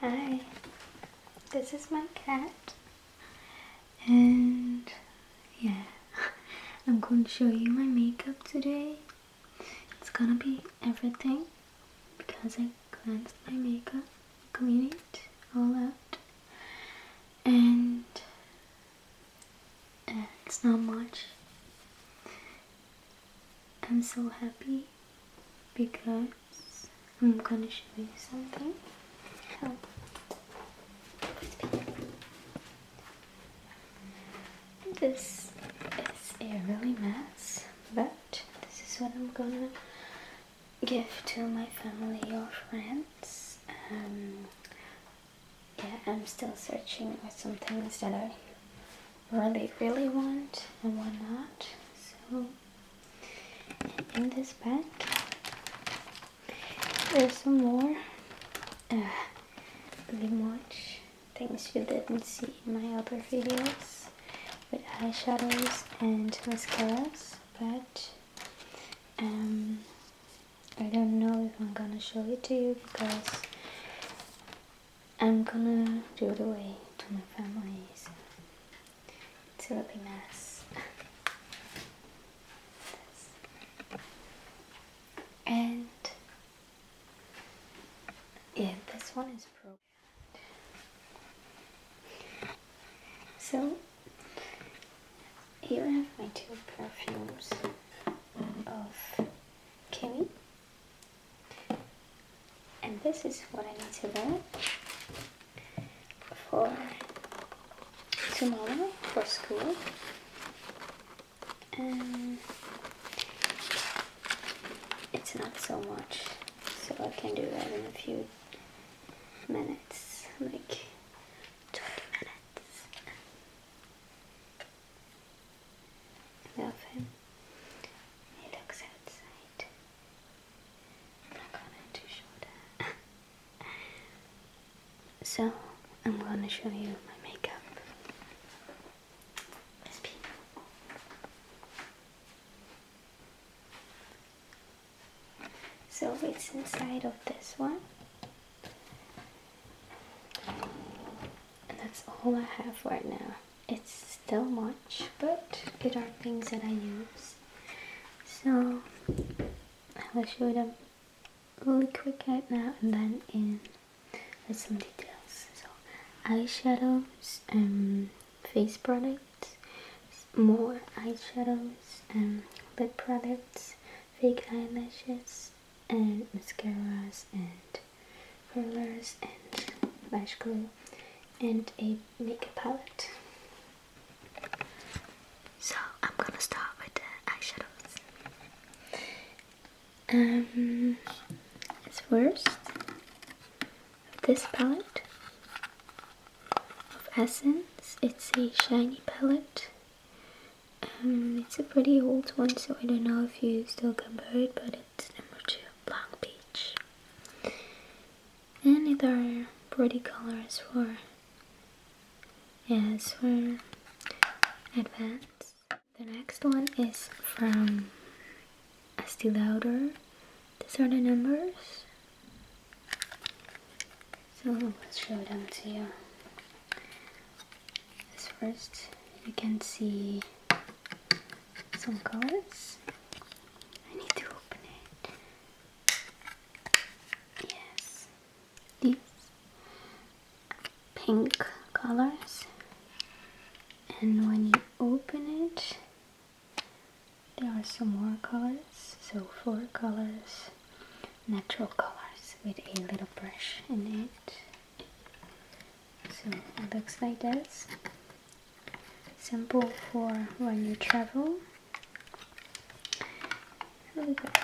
Hi, this is my cat, and yeah, I'm going to show you my makeup today. It's gonna be everything because I cleansed my makeup, clean it all out, and it's not much. I'm so happy because I'm gonna show you something. Oh. This is a really mess, but this is what I'm gonna give to my family or friends. Um, yeah, I'm still searching for some things that I really, really want and what not. So, in this bag, there's some more pretty much things you didn't see in my other videos with eyeshadows and mascaras, but um, I don't know if I'm gonna show it to you because I'm gonna do it away to my family so it's a really mess and yeah this one is pro. so here I have my two perfumes of kiwi and this is what I need to wear for tomorrow for school and it's not so much so I can do that in a few minutes like 20 minutes Love him. He looks outside. I'm not gonna do shoulder. so I'm gonna show you my makeup. So it's inside of this one. And that's all I have right now. It's still much, but it are things that I use. So I will show them really quick right now and then in some details. So eyeshadows and um, face products, more eyeshadows and um, lip products, fake eyelashes, and mascaras and curlers and lash glue and a makeup palette. So I'm gonna start with the eyeshadows. Um, it's first, this palette of Essence, it's a shiny palette um, it's a pretty old one, so I don't know if you still can buy it, but it's number two, black peach, And it are pretty colors for, yes, for advance. The next one is from Estee Lauder. These are the numbers. So let's show them to you. As first, you can see some colors. I need to open it. Yes, these pink colors. And when you open it, there are some more colors. So four colors natural colors with a little brush in it so it looks like this simple for when you travel really good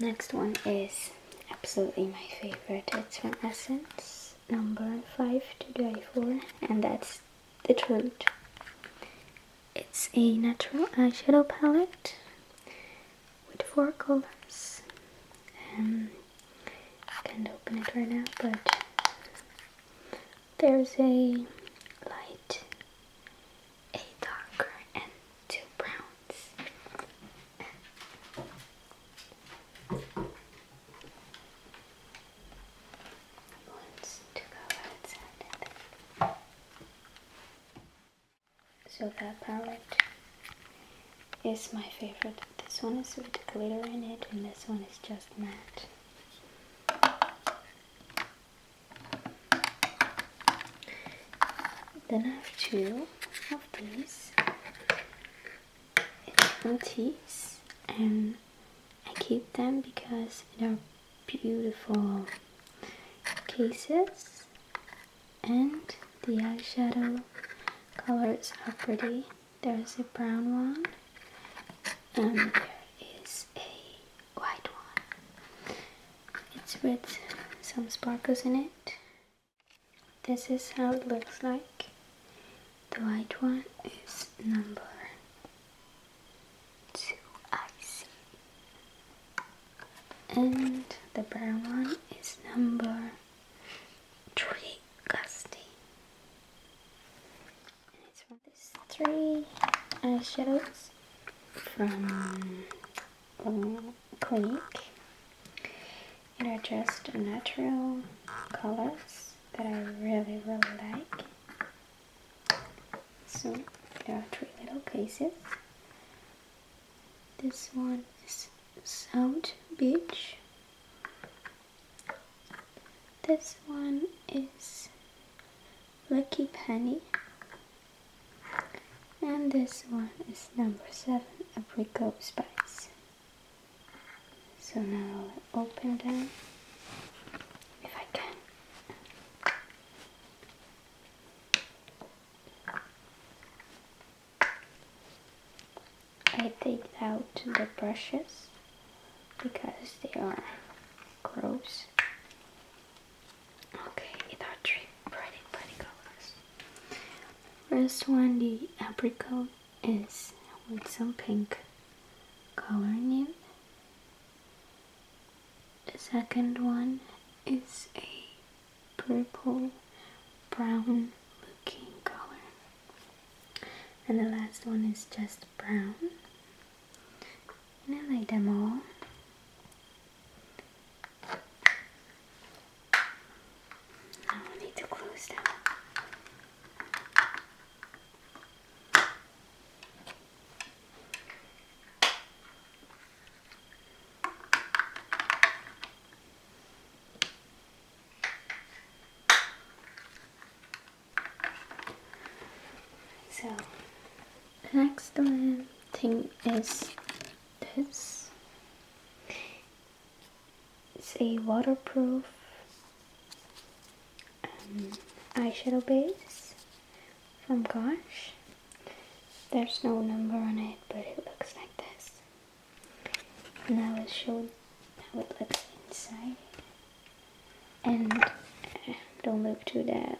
next one is absolutely my favorite it's from Essence number 5 to die for and that's the truth it's a natural eyeshadow palette with four colors. Um, I can't open it right now, but there's a light, a darker, and two browns. So that palette is my favorite. This one is with glitter in it and this one is just matte. Then I have two of these. It's from and I keep them because they're beautiful cases and the eyeshadow colors are pretty. There's a brown one and there is a white one. It's with some sparkles in it. This is how it looks like. The white one is number too icy. And the brown one is number three, Gusty. And it's from these three eyeshadows uh, from um, Clinique. And are just natural colors that I really, really like. So there are three little cases. This one is South Beach. This one is Lucky Penny. And this one is number 7, Apricot Spice. So now I'll open them if I can. I take out the brushes because they are gross. Okay, it are three pretty, pretty colors. First one, the apricot is with some pink coloring in it. The second one is a purple brown looking color. And the last one is just brown. I like them all. Now I need to close them. So next thing is this. It's a waterproof um, eyeshadow base from Gosh. There's no number on it, but it looks like this. And I will show how it looks inside. And um, don't look too the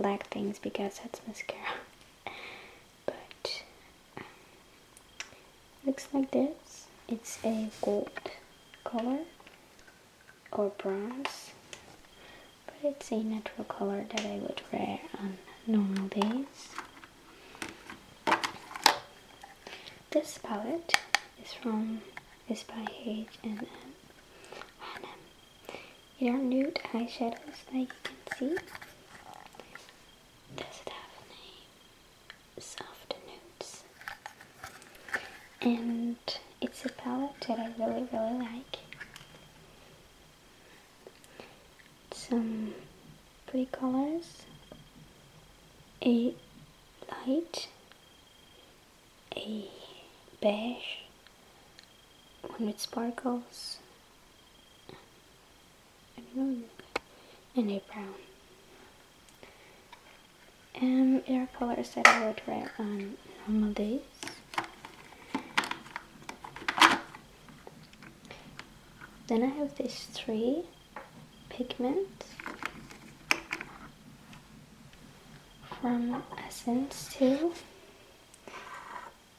black things because that's mascara. But um, looks like this. It's a gold color or bronze, but it's a natural color that I would wear on normal days. This palette is from is by H&M. H&M, They are nude eyeshadows, as you can see. Does it have a name? Soft notes, And it's a palette that I really, really like. Some pretty colors, a light, a beige, one with sparkles, and a brown um, are colors that I would wear on normal days. Then I have these three pigments from Essence too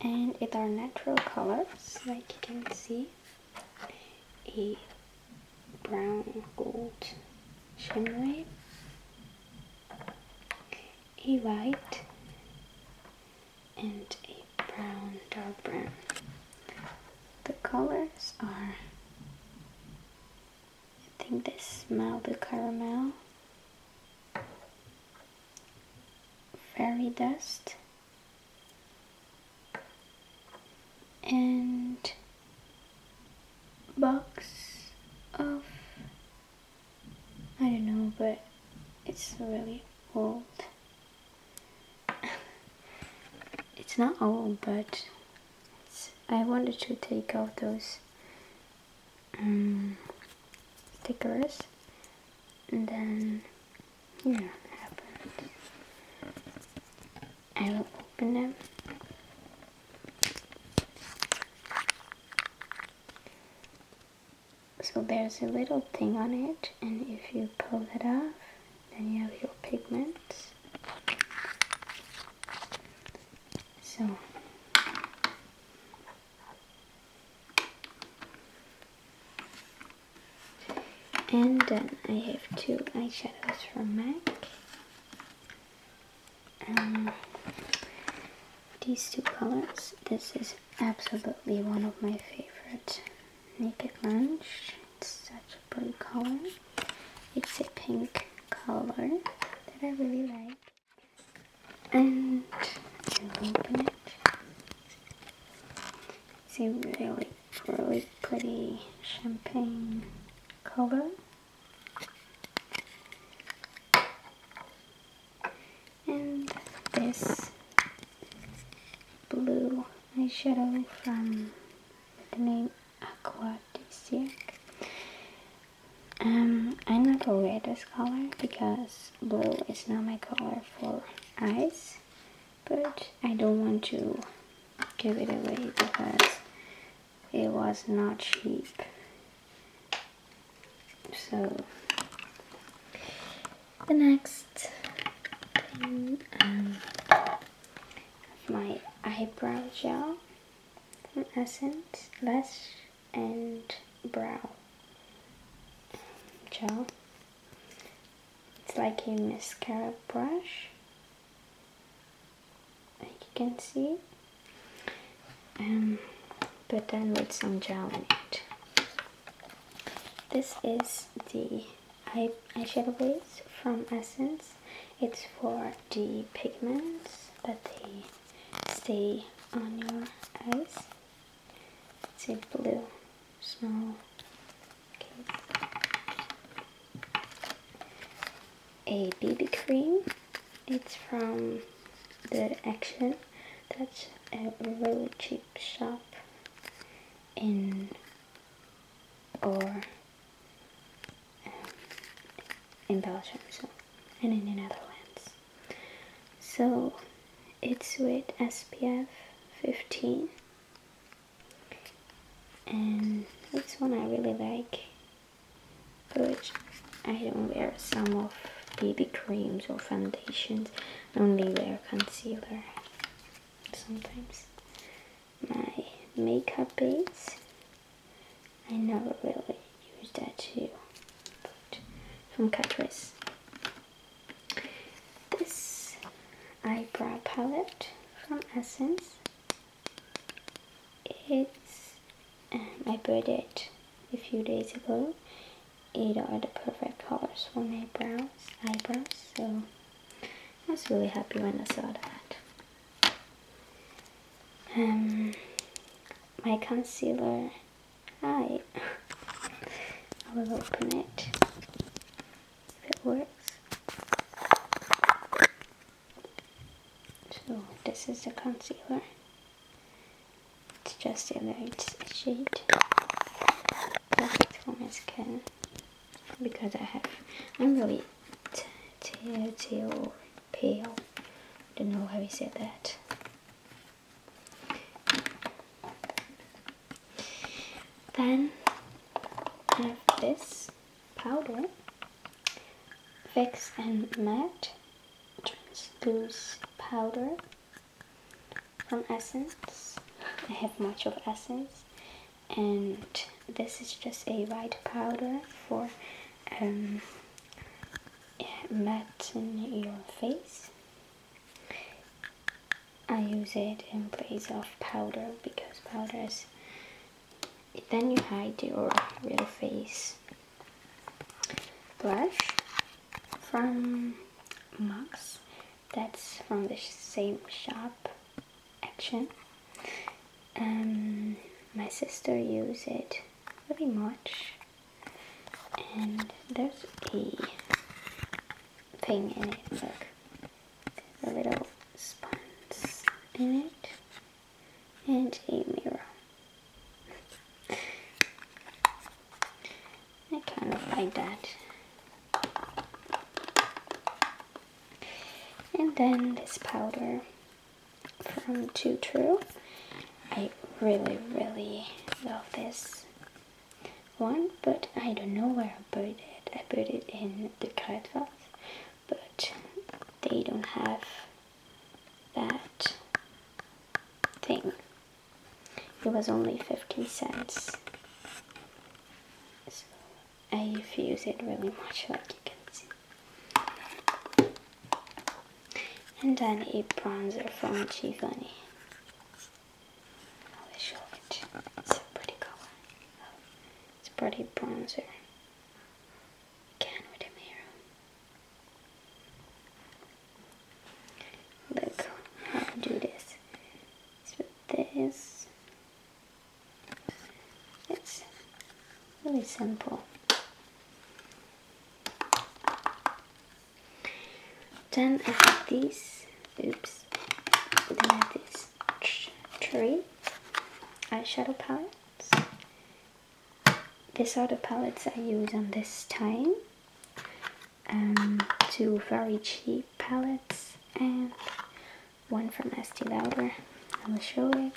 and it are natural colors like you can see a brown gold shimmery, a white, and a brown dark brown. The colors are, I think they smell the caramel, fairy dust, and box of I don't know but it's really old it's not old but I wanted to take out those um, stickers and then yeah happened I will open them. So there's a little thing on it and if you pull it off, then you have your pigments. So And then I have two eyeshadows from MAC. Um, these two colors, this is absolutely one of my favorite. Naked Lunch, it's such a pretty color. It's a pink color that I really like. And i open it. It's a really, really pretty champagne color. And this blue eyeshadow from the name Aquadisiac. Um, I'm not gonna wear this color because blue is not my color for eyes but I don't want to give it away because it was not cheap so the next um, my eyebrow gel from Essence Lash and Brow um, gel it's like a mascara brush you can see um, but then with some gel in it this is the eye eyeshadow base from Essence it's for the pigments that they stay on your eyes it's a blue small a BB cream. It's from the Action. That's a really cheap shop in or um, in Belgium so, and in the Netherlands. So it's with SPF 15 and this one I really like but I don't wear some of BB creams or foundations only wear concealer sometimes my makeup base I never really use that too from Katrice, this eyebrow palette from Essence. It's um, I bought it a few days ago. It are the perfect colors for my brows, eyebrows. So I was really happy when I saw that. Um, my concealer. Hi. I will open it if it works. So this is the concealer. It's just a light shade. Perfect for my skin. Because I have, I'm really teal, teal, pale. Don't know how you say that. Then I have this powder, Fix and Matte Translucent Powder from Essence. I have much of Essence and this is just a white powder for um, matte your face I use it in place of powder because powders. then you hide your real face blush from Max that's from the same shop action um, my sister used it pretty much and there's a thing in it. Look, a little sponge in it and a mirror. I kind of like that. And then this powder from Too True. I really, really love this one, but I don't know where I buried it. I buried it in the carrot but they don't have that thing. It was only 50 cents. So I use it really much, like you can see. And then a bronzer from bunny. It's pretty color. it's pretty bronzer. Again with a mirror. Look how I do this. with this. It's really simple. Then I have these Oops. Then I have this tree eyeshadow palettes. These are the palettes I use on this time. Um, two very cheap palettes and one from Estee Lauder. I will show it.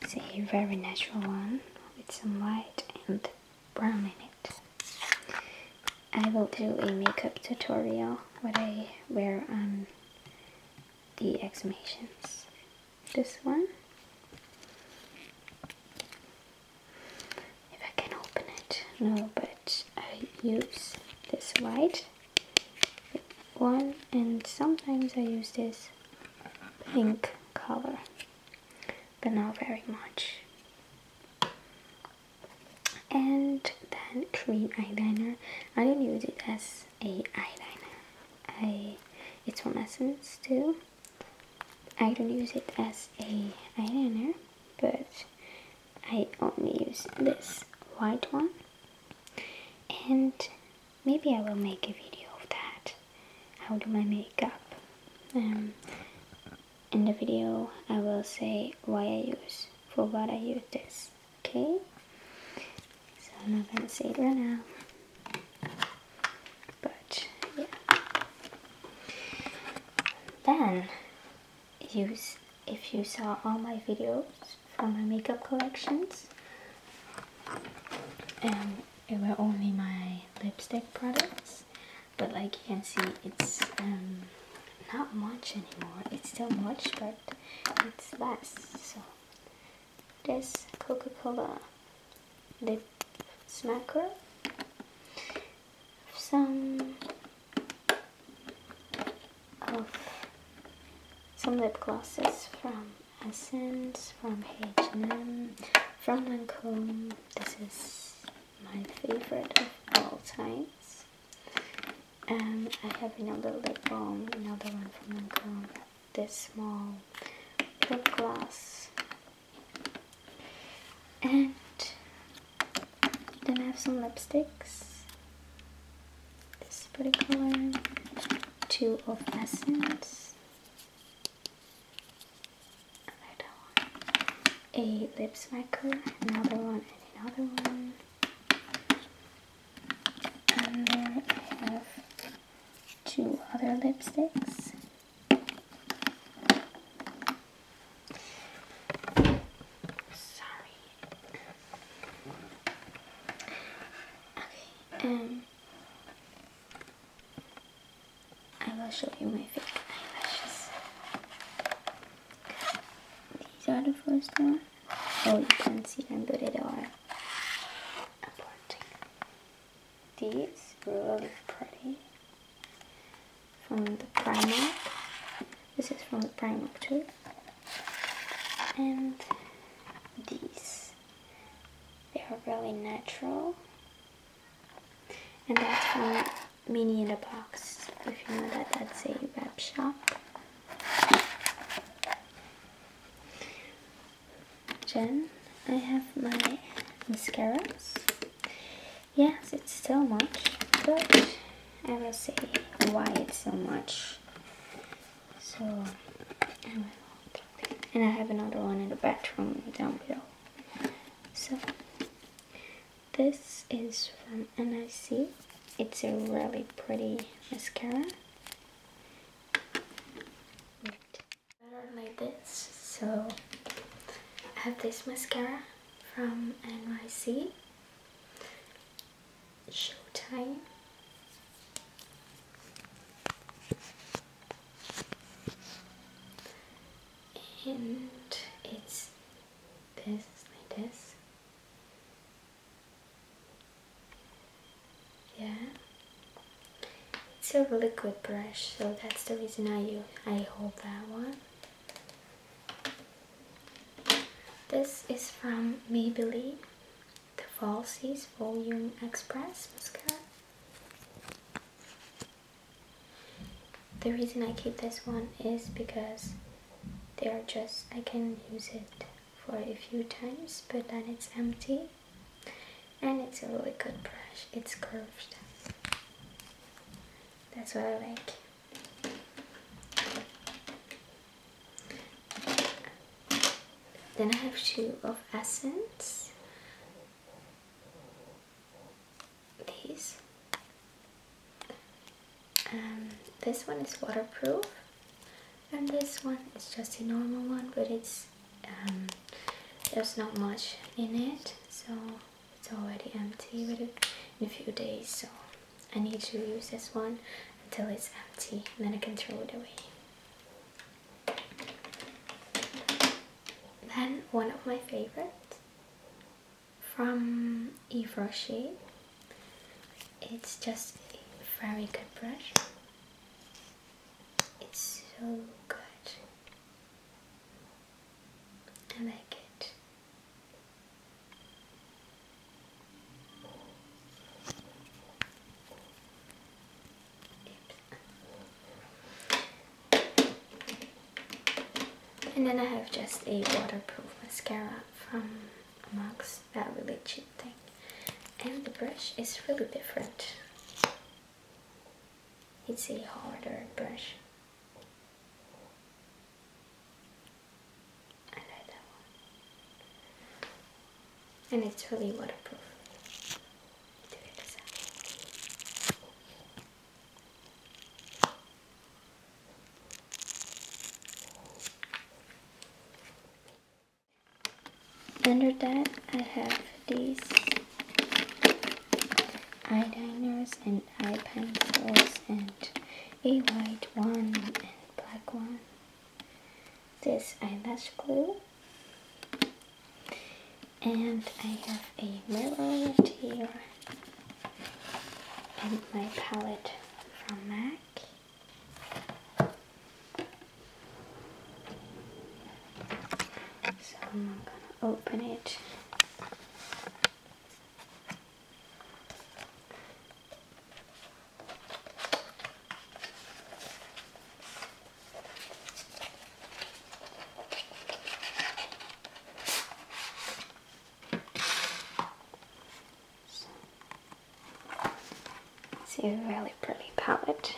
It's a very natural one with some white and brown in it. I will do a makeup tutorial what I wear on the exhumations. This one. If I can open it. No, but I use this white one and sometimes I use this pink color but not very much and then cream eyeliner I don't use it as a eyeliner I it's from Essence too I don't use it as a eyeliner but I only use this white one and maybe I will make a video of that how do my makeup um, in the video I will say why I use for what I use this okay so I'm not gonna say it right now but yeah then use if you saw all my videos from my makeup collections and um, it were only my lipstick products but like you can see it's um, not much anymore it's still much but it's less so this coca-cola lip smacker some of some lip glosses from Essence, from H&M, from Lancome. This is my favorite of all times. and um, I have another lip balm, another one from Lancome, this small lip gloss. And then I have some lipsticks. This pretty color. Two of Essence. Another A lip smacker. Another one and another one. And there I have two other lipsticks. Sorry. Okay, um I will show you my fake eyelashes. These are the first one. Oh, you can see them, but they are aborting. These really pretty from the Primark. This is from the Primark too. And these, they are really natural. And that's from mini in a box. If you know that, that's a web shop. Jen, I have my mascaras. Yes, it's so much, but I will say why it's so much. So, and I have another one in the bathroom down below. So, this is from N Y C. It's a really pretty mascara. like this. So I have this mascara from NYC. Showtime and it's this like this yeah it's a really good brush so that's the reason I use I hold that one this is from Maybelline the Falsies Volume Express mascara the reason I keep this one is because they are just, I can use it for a few times but then it's empty and it's a really good brush, it's curved. That's what I like. Then I have two of Essence these. Um, this one is waterproof and this one is just a normal one but it's um, there's not much in it so it's already empty with in a few days so I need to use this one until it's empty and then I can throw it away then one of my favorites from Yves Rocher. It's just a very good brush. It's so good. I like it. And then I have just a waterproof mascara from Max, that really cheap thing. And the brush is really different. It's a harder brush. I like that one. And it's really waterproof. Under that, I have these eyeliners and eye pencils and a white one and black one. This eyelash glue and I have a mirror left here and my palette from MAC so I'm gonna open it it's a really pretty palette.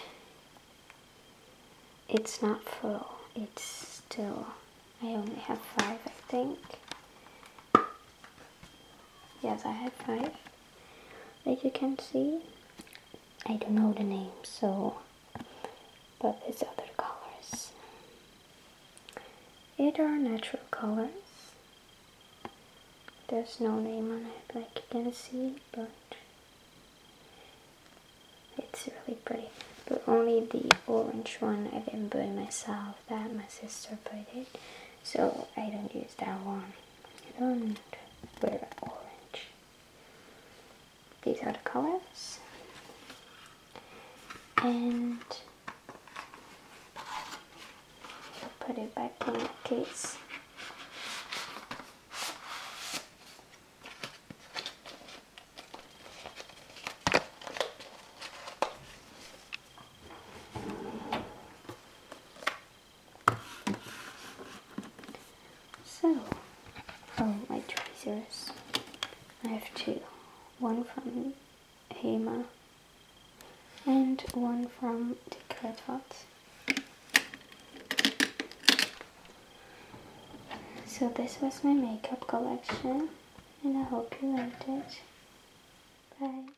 It's not full, it's still, I only have five I think. Yes, I have five, as you can see. I don't know the name, so but these other colors. It are natural colors. There's no name on it like you can see, but it's really pretty. But only the orange one I didn't put myself, that my sister put it. So I don't use that one. I don't wear orange these other colors and put it back in the case so, oh, my tweezers, I have two. One from Hema and one from the Kruidvat. So this was my makeup collection and I hope you liked it. Bye.